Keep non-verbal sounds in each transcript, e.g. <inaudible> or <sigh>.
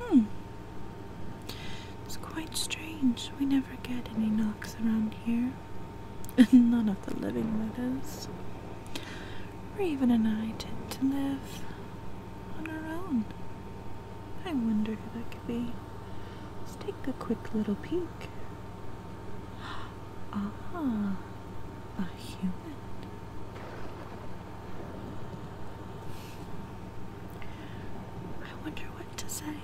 Hmm. It's quite strange. We never get any knocks around here. and <laughs> None of the living, that is. Raven and I tend to live on our own. I wonder who that could be. Let's take a quick little peek. Ah, a human. I wonder what to say.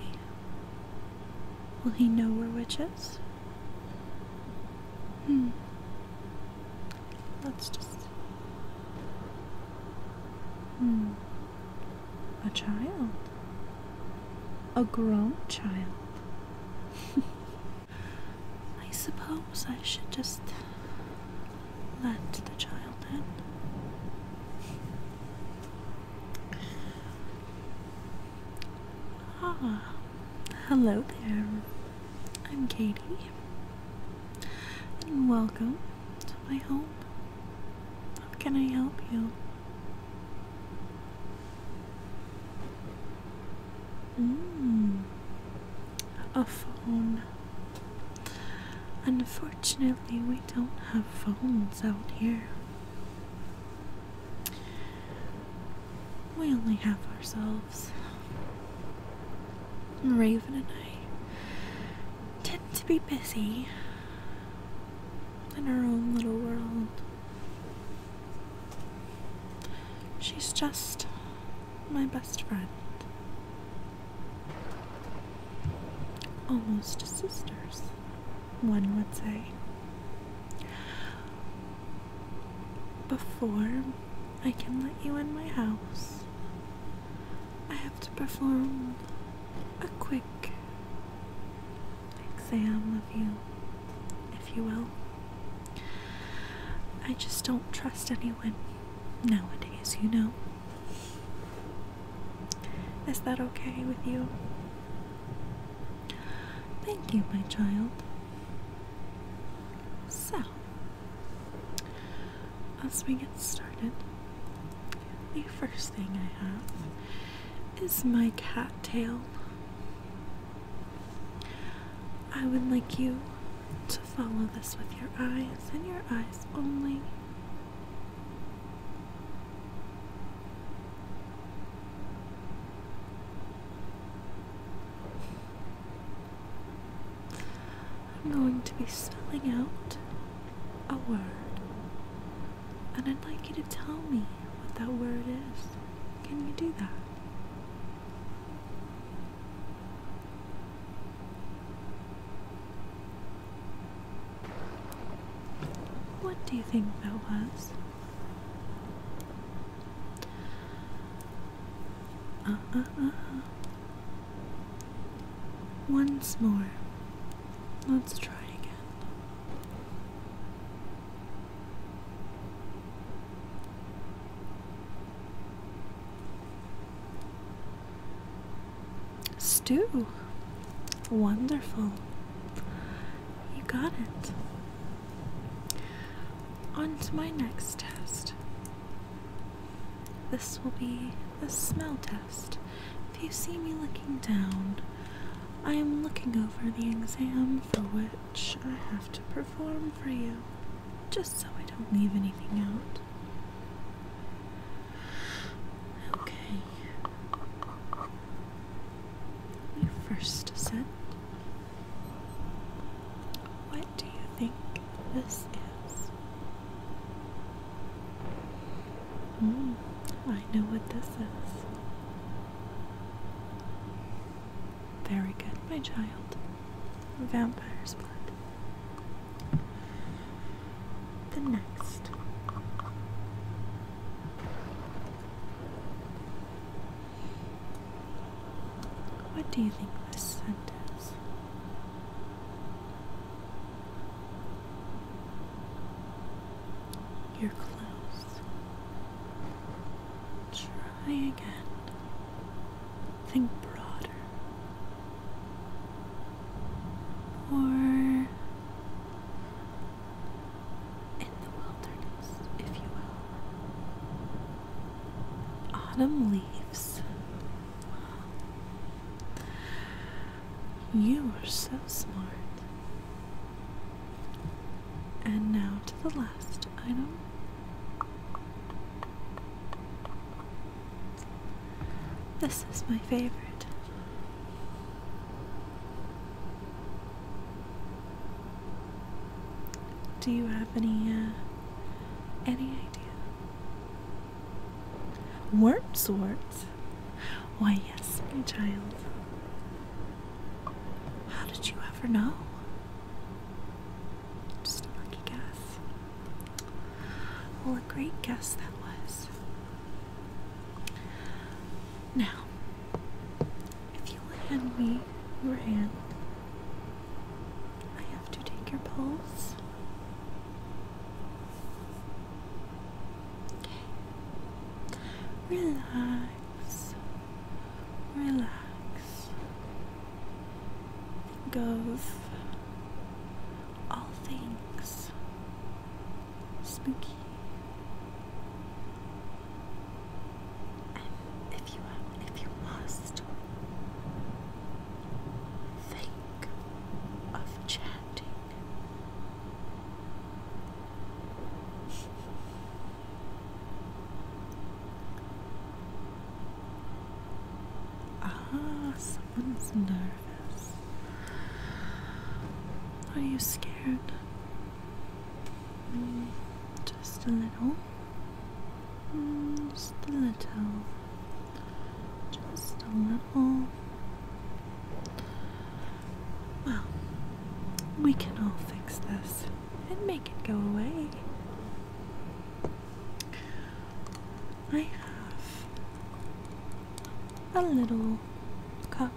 Will he know we're witches? Hmm. Let's just. Hmm a child, a grown child. <laughs> I suppose I should just let the child in. Ah, hello there. I'm Katie, and welcome to my home. How can I help you? Mmm. A phone. Unfortunately, we don't have phones out here. We only have ourselves. Raven and I to be busy in her own little world. She's just my best friend. Almost sisters, one would say. Before I can let you in my house, I have to perform a quick exam of you, if you will. I just don't trust anyone nowadays, you know. Is that okay with you? Thank you, my child. So, as we get started, the first thing I have is my cattail. I would like you to follow this with your eyes and your eyes only. I'm going to be spelling out a word. And I'd like you to tell me what that word is. Can you do that? What do you think that was? Uh, uh, uh, once more. Let's try again. Stew. Wonderful. You got it. On to my next test. This will be the smell test. If you see me looking down, I am looking over the exam for which I have to perform for you, just so I don't leave anything out. Okay. You first sit. What do you think this is? Hmm. I know what this is. Very good, my child. Vampire's blood. The next. What do you think this scent is? You're close. Try again. Think broader. Or in the wilderness, if you will. Autumn leaves. You are so smart. And now to the last item. This is my favorite. Do you have any uh, any idea Wormswort? Why, yes, my child. How did you ever know? Just a lucky guess. Well, a great guess that was. Now, if you will hand me your hand, I have to take your pulse. Okay. Relax. Relax. Goes all things spooky. And if you if you must, think of chanting. Ah, someone's nervous. Are you scared? Mm, just a little. Mm, just a little. Just a little. Well, we can all fix this and make it go away. I have a little cup.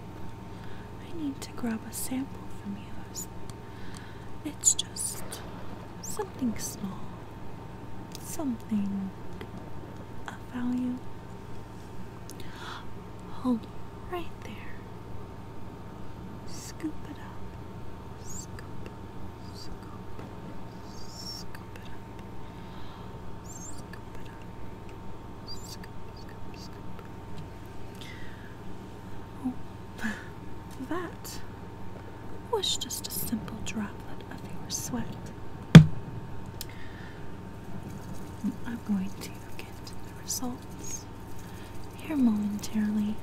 I need to grab a sample from yours. It's just something small something of value. Hold right there. Scoop it up. Scoop, scoop, scoop it up. Scoop it up. Scoop, scoop, scoop. Oh, that was just a simple droplet of your sweat. I'm going to get the results here momentarily.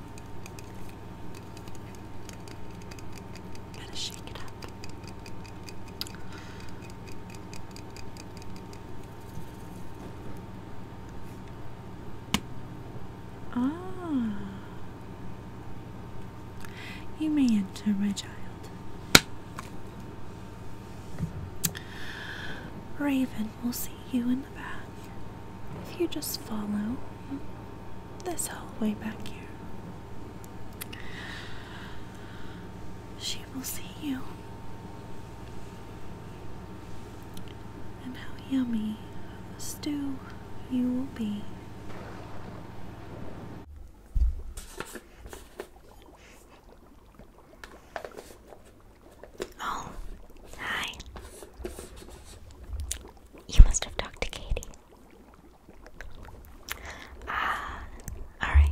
got shake it up. Ah, you may enter, my child. Raven will see you in the back if you just follow this hallway back here. She will see you and how yummy of a stew you will be. Oh, hi. You must have talked to Katie. Ah, alright.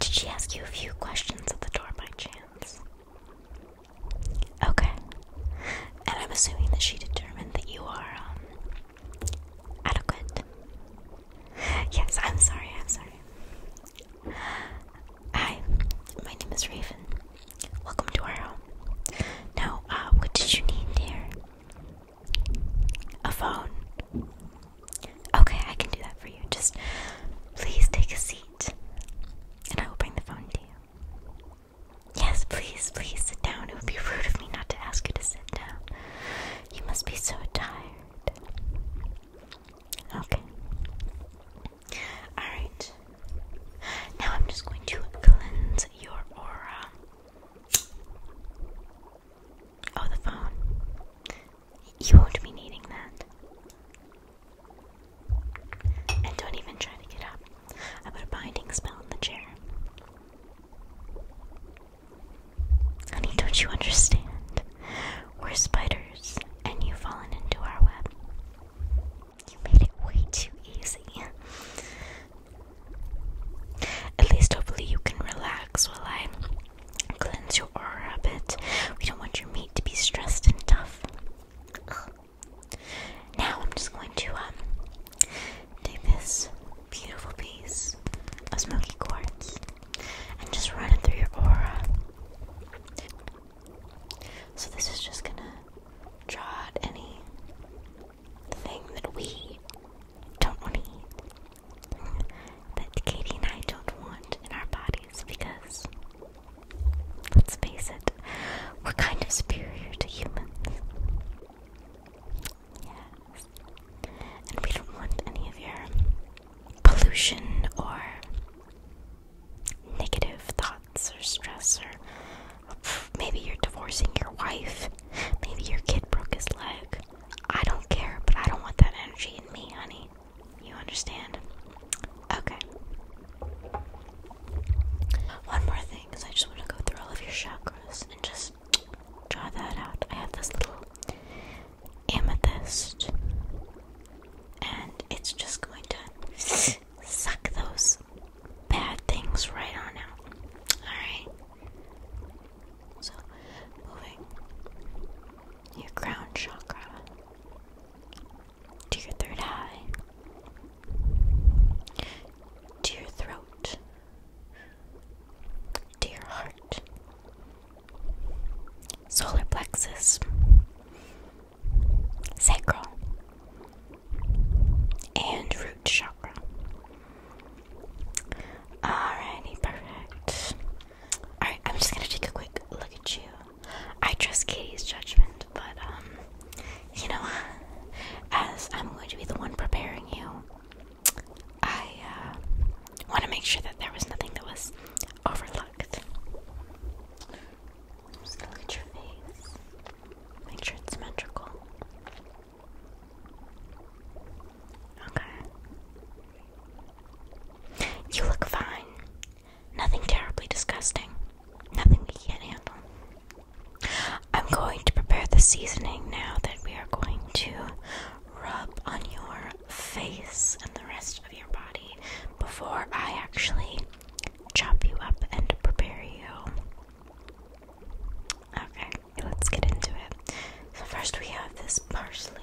Did she ask you a few questions at the door by chance? Okay. And I'm assuming that she determined that you are um, adequate. Yes, I'm sorry, I'm sorry. Hi, my name is Raven. Welcome to our home. Now, uh, what did you need here? A phone. Okay, I can do that for you. Just please take a seat, and I will bring the phone to you. Yes, please, please sit down. It would be rude of me not to ask you to sit down. You must be so tired. Okay. Alright. Now I'm just going to cleanse your aura. Oh, the phone. You won't be needing that. And don't even try to get up. I put a binding spell on the chair. Honey, don't you understand? We're spiders, and you've fallen into our web. You made it way too easy. At least, hopefully, you can relax while I cleanse your aura a bit. We don't want your meat to be stressed and tough. Now, I'm just going to um, Take this beautiful piece of smoky quartz and just run it through your aura. So, this is just gonna draw out any thing that we don't want that Katie and I don't want in our bodies because, let's face it, we're kind of superior to humans. Yes. And we don't want any of your pollution or negative thoughts or stress or maybe you're divorcing your wife. Maybe your kid broke his leg. I don't care, but I don't want that energy in me, honey. You understand? Okay. One more thing, because I just want to go through all of your chakras and just Draw that out. I have this little amethyst, and it's just going to suck those bad things right on out. Alright? So, moving your crown chakra to your third eye, to your throat. Dear heart, solar plexus, sacral, and root chakra. Alrighty, perfect. Alright, I'm just gonna take a quick look at you. I trust Katie's judgment, but um you know, as I'm going to be the one preparing you, I uh, want to make sure that there was nothing that was overlooked. look at your face, make sure it's symmetrical. Okay. You look fine. Nothing terribly disgusting. Nothing we can't handle. I'm going to prepare the seasoning now that we are going to rub on your face and the rest of your body before I actually chop you up and prepare you. Okay, let's get into it. So, first we have this parsley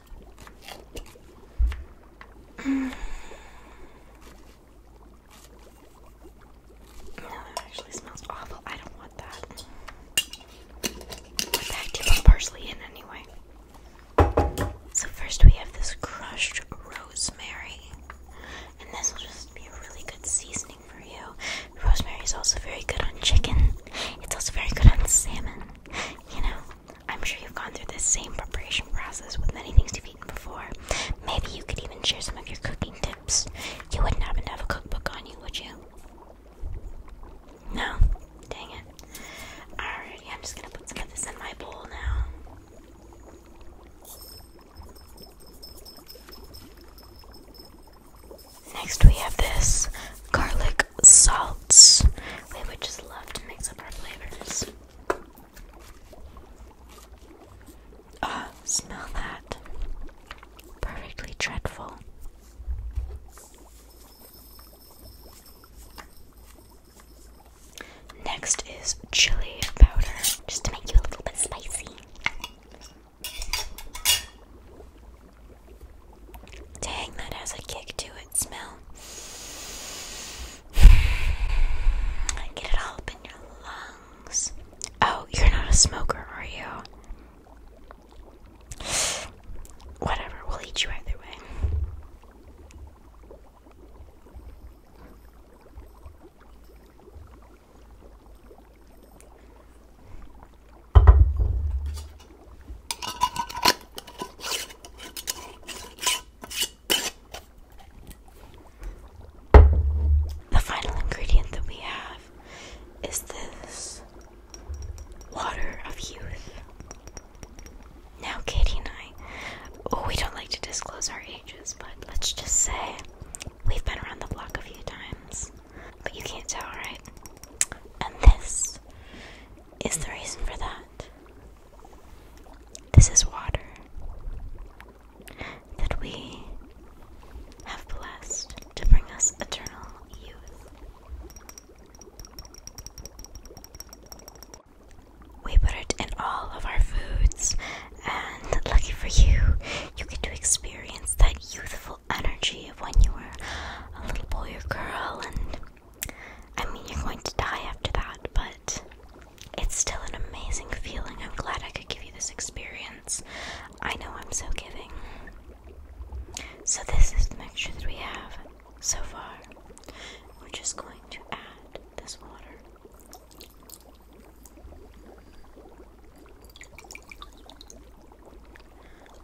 this. <sighs> no, that actually smells awful. I don't want that. What the heck do you put parsley in anyway? So first we have this crushed rosemary. And this will just be a really good seasoning for you. Rosemary is also very good on chicken. It's also very good on salmon. You know, I'm sure you've gone through this same preparation process with many things you've eaten before. Maybe you could even share some of your cooking tips. You wouldn't happen to have a cookbook on you, would you? No? Dang it. Alrighty, I'm just gonna put some of this in my bowl now. Next, we have this garlic salts. We would just love to mix up our flavors. Ah, smell that. Perfectly dreadful. Next is chili powder, just to make you a little bit spicy. Dang, that has a kick to it, smell. <sighs> Get it all up in your lungs. Oh, you're not a smoker, are you? <sighs> Whatever, we'll eat you either way. The final ingredient that we have is this water of youth. Now, Katie and I, oh, we don't like to disclose our ages, but let's just say we've been around the block a few times. But you can't tell, right? And this is the reason for that. This is water that we have blessed to bring us eternal youth. We put it in all of our foods, and lucky for you, you get to experience that youthful energy of when you were a little boy or girl and I mean, you're going to die after that, but it's still an amazing feeling. I'm glad I could give you this experience. I know I'm so giving. So, this is the mixture that we have so far. We're just going to add this water.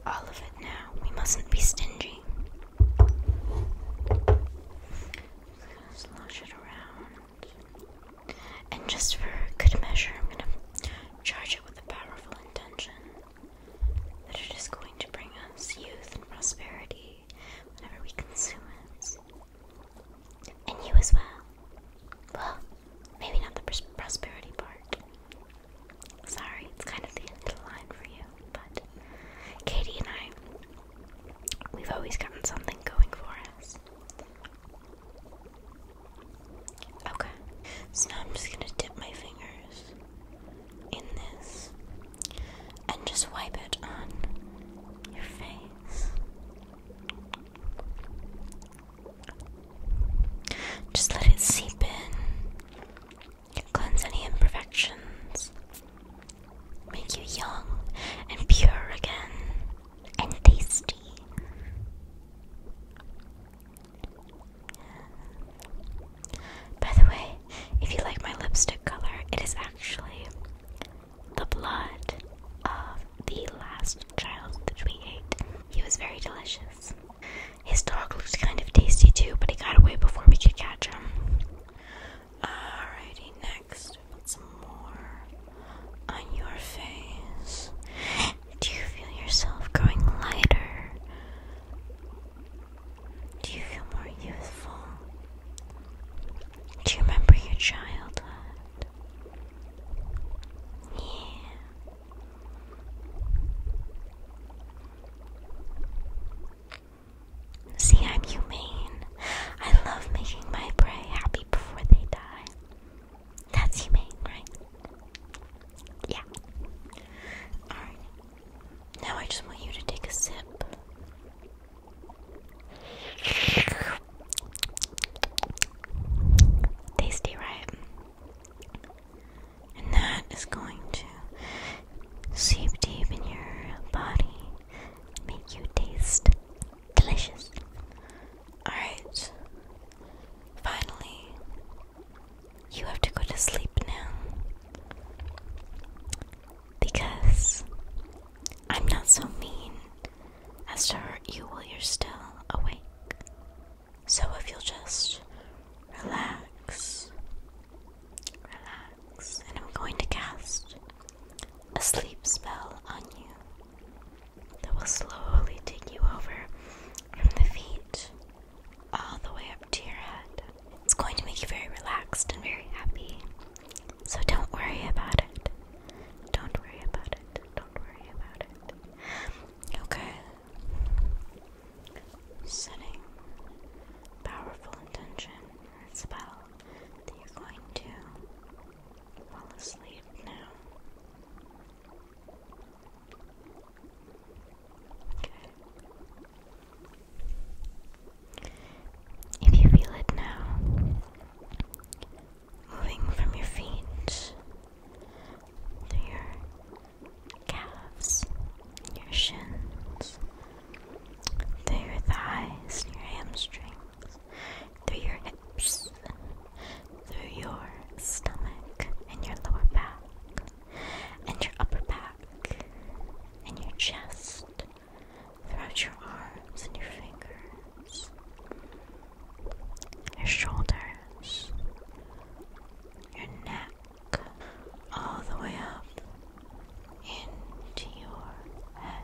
All of it now. We mustn't be stingy. Just gonna slosh it around. And just for good measure, I'm gonna charge it with a powerful intention that it is going to bring us youth and prosperity whenever we consume it. And you as well. Well, maybe not the prosperity part. Sorry, it's kind of the end line for you. But Katie and I, we've always gotten something going for us. Okay, so now I'm just gonna dip my fingers in this and just wipe it on your face. Just let it seep in. Cleanse any imperfections. Make you young and pure again and tasty. By the way, if you like my lipstick color, it is actually the blood of the last child that we ate. He was very delicious. His dog looks kind of tasty too, but he got away before we could catch him. Alrighty, next put some more on your face. Do you feel yourself growing lighter? Do you feel more youthful? Do you remember your childhood? Yeah. See, I'm humane. I love making my prey happy before they die. That's humane, right? Yeah. Alright. Now I just want you to take a sip. Tasty, right? And that is going to seep deep in your body, make you taste delicious. Alright, finally, you have to go to sleep now because I'm not so mean as to hurt you while you're still awake. So if you'll just relax, relax and I'm going to cast a sleep spell on you that will slowly take you over from the feet all the way up to your head. It's going to make you very relaxed and very happy. So don't worry about it. Don't worry about it. Don't worry about it. Okay setting powerful intention or spell that you're going to fall asleep now. Okay. If you feel it now, moving from your feet to your calves, your shins, through your thighs, your hamstrings, through your hips, through your stomach, and your lower back, and your upper back, and your chest, throughout your arms and your fingers, your shoulders, your neck all the way up into your head.